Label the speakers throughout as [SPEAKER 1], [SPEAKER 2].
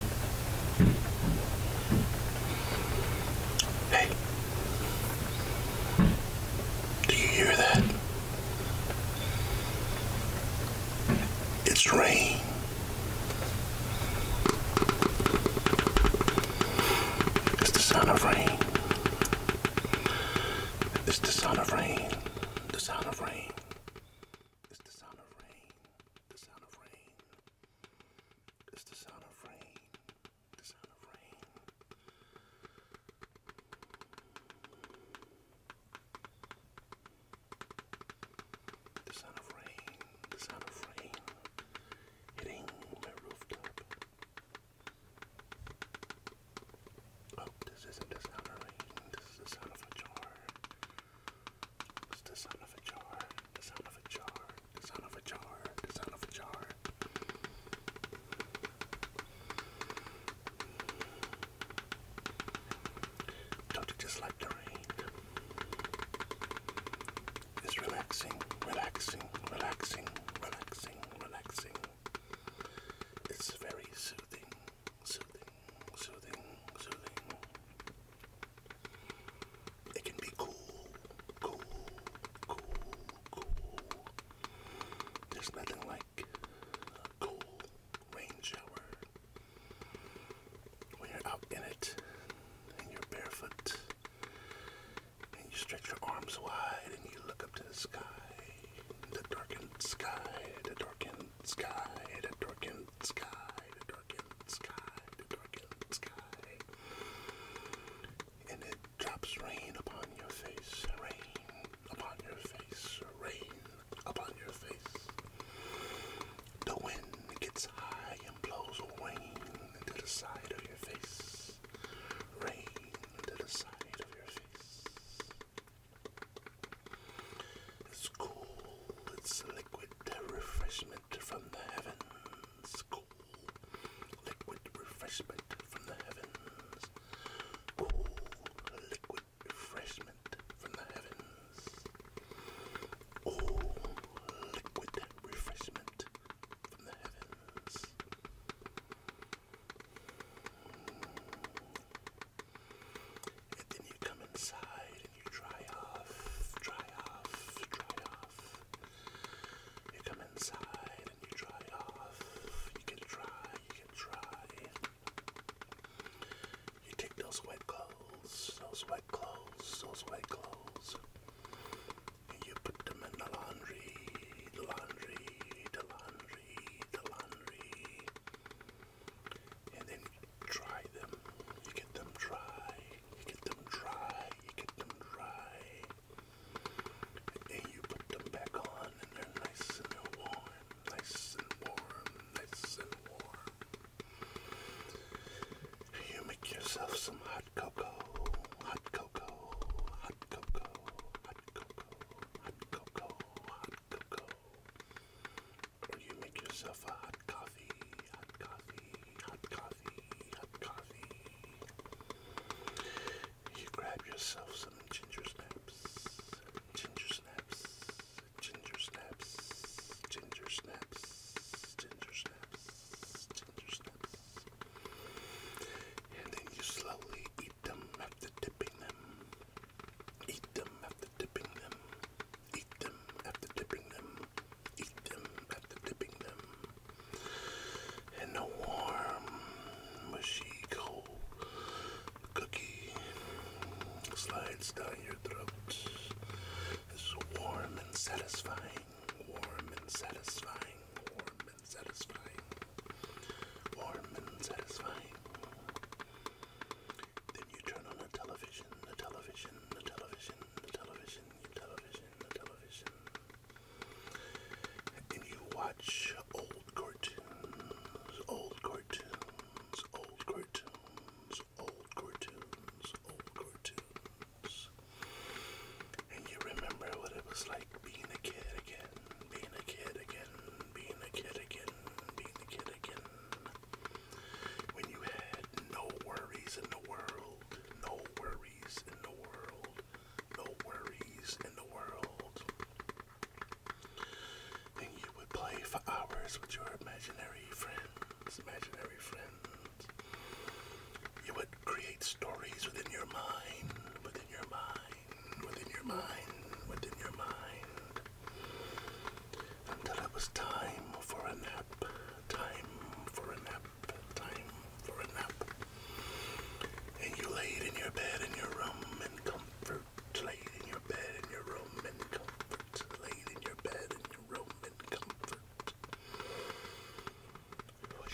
[SPEAKER 1] Hey, do you hear that? It's rain. It's the sound of rain. It's the sound of rain. The sound of rain. It's the sound of rain. The sound of rain. It's the sound of rain. The sound of rain. The sound of rain. The sound of rain hitting my rooftop. Oh, this isn't the sound of rain. This is the sound of a jar. It's the sound of a jar, the sound of a jar, the sound of a jar, the sound of a jar. Don't you just like the rain? It's relaxing, relaxing, relaxing, relaxing, relaxing. It's very soothing, soothing soothing, soothing. It can be cool, cool, cool, cool. There's nothing like a cool rain shower when you're out in it and you're barefoot and you stretch your arms wide and you look up to the sky, the darkened sky, the darkened sky, the darkened sky, and it drops rain upon your face, rain upon your face, rain upon your face. The wind gets high and blows rain to the side of your face, rain to the side of your face. It's cool, it's liquid refreshment from the heavens. Cool. Liquid refreshment from the heavens. Cool. Liquid refreshment from the heavens. Oh, liquid refreshment from the heavens and then you come inside and you dry off, dry off, dry off. You come inside and you dry off, you get dry, you get dry. You take those wet clothes, those wet clothes, those wet clothes, and you put them in the laundry, the laundry, the laundry, the laundry and then you dry them. You get them dry, you get them dry, you get them dry. And you put them back on and they're nice and they're warm, nice and warm, nice and warm. You make yourself some hot cocoa, hot cocoa, hot cocoa, hot cocoa, hot cocoa, hot cocoa. You make yourself a hot coffee, hot coffee, hot coffee, hot coffee. You grab yourself some ginger snaps, ginger snaps, ginger snaps, ginger snaps, ginger snaps, ginger snaps. And then you slowly eat them after dipping them. Eat them after dipping them. Eat them after dipping them eat them after dipping them in the warm, mushy, cold cookie slides down your throat. It's warm and satisfying, warm and satisfying, warm and satisfying, warm and satisfying. Then you turn on the television, the television, the television television, television, television, and you watch old cartoons, old cartoons, old cartoons, old cartoons, old cartoons, and you remember what it was like being a kid again, being a kid again, being a kid again, being a kid again. When you had no worries in the world, no worries in the world, no worries in the world. Then you would play for hours with your imaginary friends, imaginary friends. You would create stories within your mind, within your mind, within your mind, within your mind until it was time for a nap, time for a nap, time for a nap. And you laid in your bed in your room in comfort, laid in your bed in your room in comfort, laid in your bed in your room in comfort.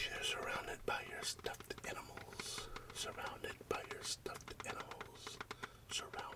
[SPEAKER 1] You're surrounded by your stuffed animals, surrounded by your stuffed animals, surrounded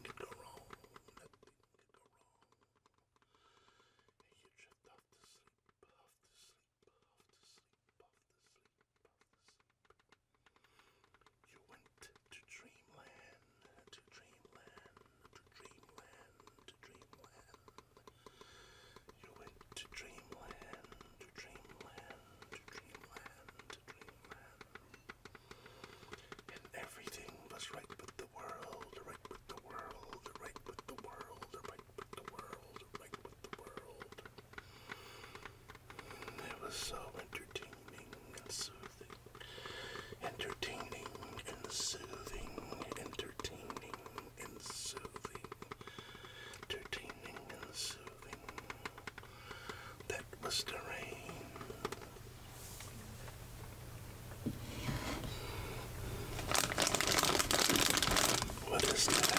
[SPEAKER 1] could go wrong. Nothing could go wrong. you drift off to sleep, off to sleep, off to sleep, off to sleep, off to sleep. You went to dreamland, to dreamland, to dreamland, to dreamland. You went to dreamland, to dreamland, to dreamland. And everything was right with the world, right with the world, right with the world, right with the world, right with the world. it was so entertaining and soothing. Entertaining and soothing, entertaining and soothing. Entertaining and soothing that was the rain. What is that? What is that?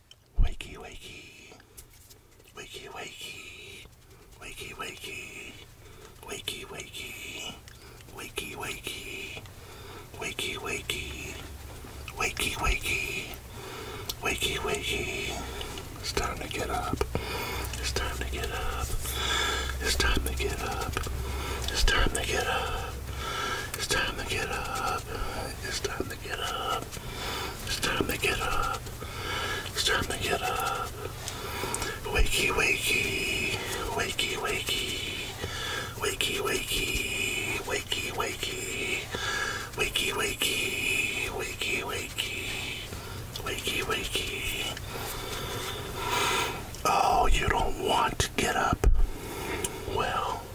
[SPEAKER 1] Wakey, wakey. Wakey, wakey. Wakey, wakey. Wakey, wakey. Wakey, wakey. Wakey, wakey. Wakey, wakey. Wakey, wakey. It's time to get up. It's time to get up. It's time to get up. It's time to get up. It's time to get up. It's time to to get up. It's time to get up. It's time to get up. Wakey, wakey. Wakey, wakey. Wakey, wakey. Wakey, wakey. Wakey, wakey. Wakey, wakey. Wakey, wakey. Oh, you don't want to get up. Well,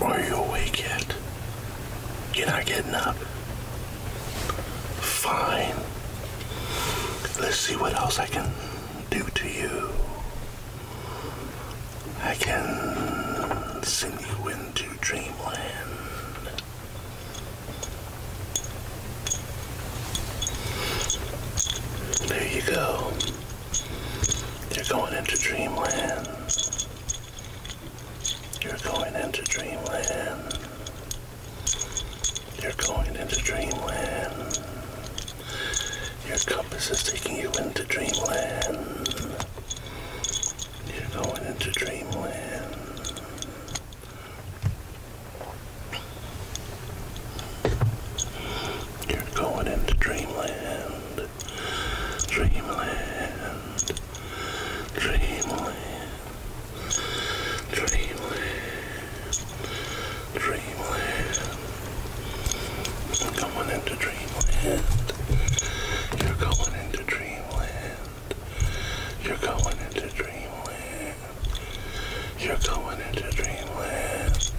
[SPEAKER 1] Are you awake yet? You're not getting up? Fine. Let's see what else I can do to you. I can send you into dreamland. There you go. You're going into dreamland. You're going into dreamland. You're going into dreamland. Your compass is taking you into dreamland. You're going into dreamland. You're going into dreamland, dreamland, dreamland, dreamland, dreamland. You're going into dreamland. You're going into dreamland. You're going into dreamland. You're going into dreamland.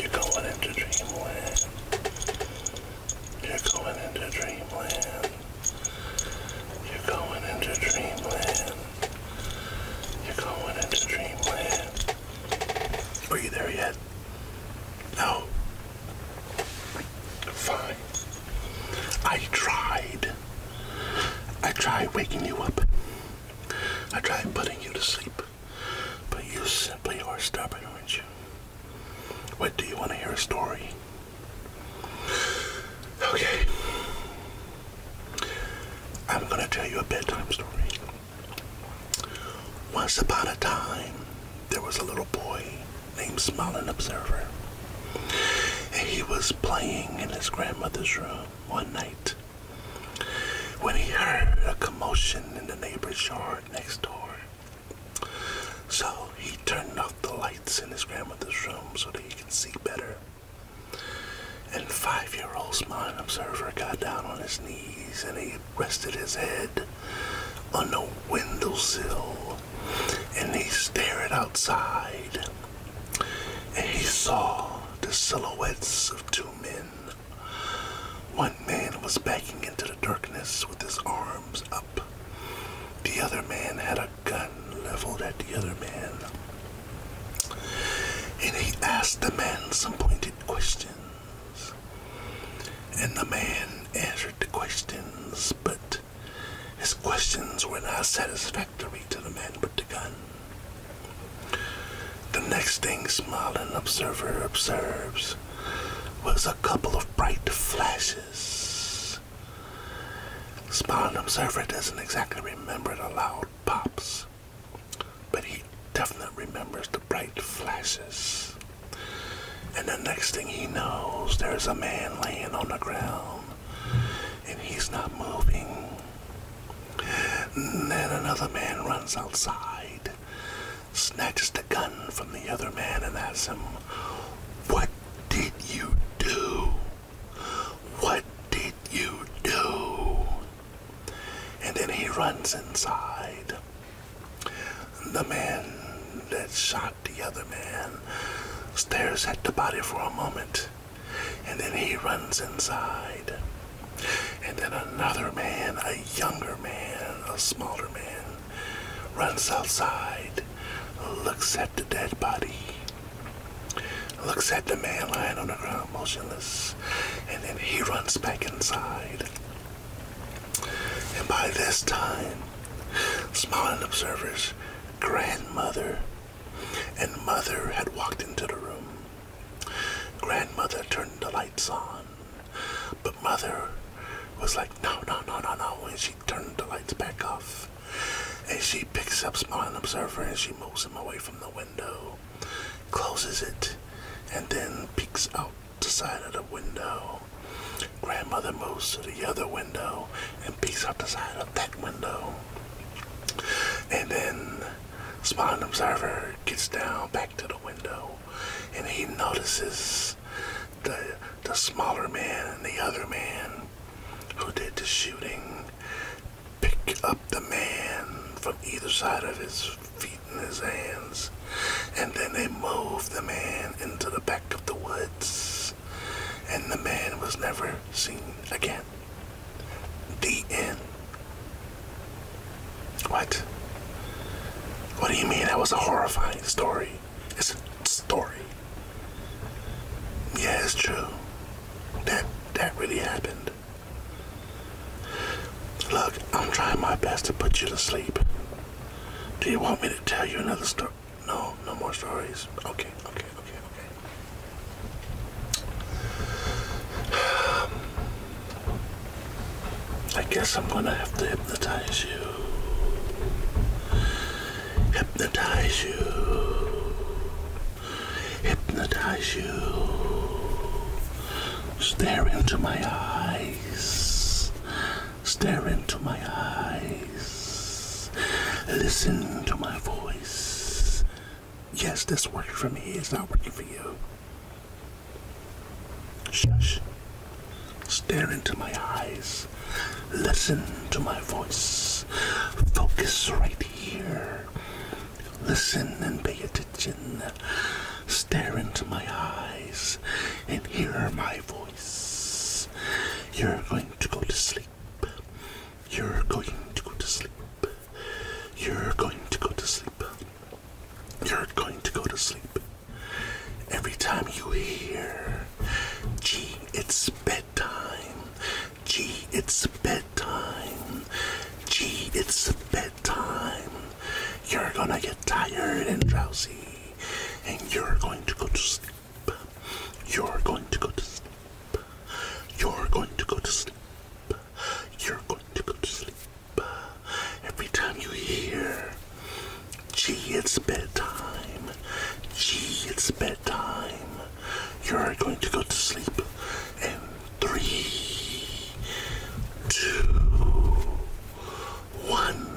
[SPEAKER 1] You're going into dreamland. You're going into dreamland. You're going into dreamland. You're going into dreamland. Are you there yet? No. Fine. I tried. I tried waking you up. I tried putting you to sleep. But you simply are stubborn, aren't you? What do you want to hear a story? Okay. I'm going to tell you a bedtime story. Once upon a time, there was a little boy named Smiling Observer. he was playing in his grandmother's room one night when he heard a commotion in the neighbor's yard next door. So he turned off the lights in his grandmother's room so that he could see better. And five year old Smiling Observer got down on his knees and he rested his head on the windowsill and he stared outside, and he saw the silhouettes of two men. One man was backing into the darkness with his arms up. The other man had a gun leveled at the other man. And he asked the man some pointed questions. And the man answered the questions, but his questions were not satisfactory to the man with the gun. The next thing smiling observer observes was a couple of bright flashes. Smiling observer doesn't exactly remember the loud pops, but he definitely remembers the bright flashes. And the next thing he knows, there's a man laying on the ground and he's not moving. then another man runs outside, snatches the gun from the other man, and asks him, What did you do? What did you do? And then he runs inside. The man that shot the other man stares at the body for a moment and then he runs inside. And then another man, a younger man, a smaller man, runs outside, looks at the dead body, looks at the man lying on the ground motionless, and then he runs back inside. And by this time, smiling observers grandmother and mother had walked into the room. Grandmother turned the lights on, but mother was like, no, no, no, no, no, and she turned the lights back off. And she picks up Small Observer and she moves him away from the window, closes it, and then peeks out the side of the window. Grandmother moves to the other window and peeks out the side of that window. And then Spawn Observer gets down back to the window and he notices the, the smaller man and the other man who did the shooting pick up the man from either side of his feet and his hands and then they move the man into the back of the woods and the man was never seen again. The end. What? What do you mean that was a horrifying story? It's a story. Yeah, it's true. That that really happened. Look, I'm trying my best to put you to sleep. Do you want me to tell you another story? No, no more stories. Okay, okay, okay, okay. I guess I'm gonna have to hypnotize you. Hypnotize you. Hypnotize you. Stare into my eyes. Stare into my eyes. Listen to my voice. Yes, this works for me. It's not working for you. Shush. Stare into my eyes. Listen to my voice. Focus right here. Listen and pay attention. Stare into my eyes and hear my voice. You're going to go to sleep. You're going to go to sleep. You're going to go to sleep. You're going to go to sleep. Every time you hear, G, it's bedtime. G, it's bedtime. G, it's bedtime. You're gonna get tired and drowsy, and you're going to go to sleep. You're going to go to sleep. You're going to go to sleep. You're going to go to sleep. Every time you hear, gee, it's bedtime. Gee, it's bedtime. You're going to go to sleep. in three, two, one.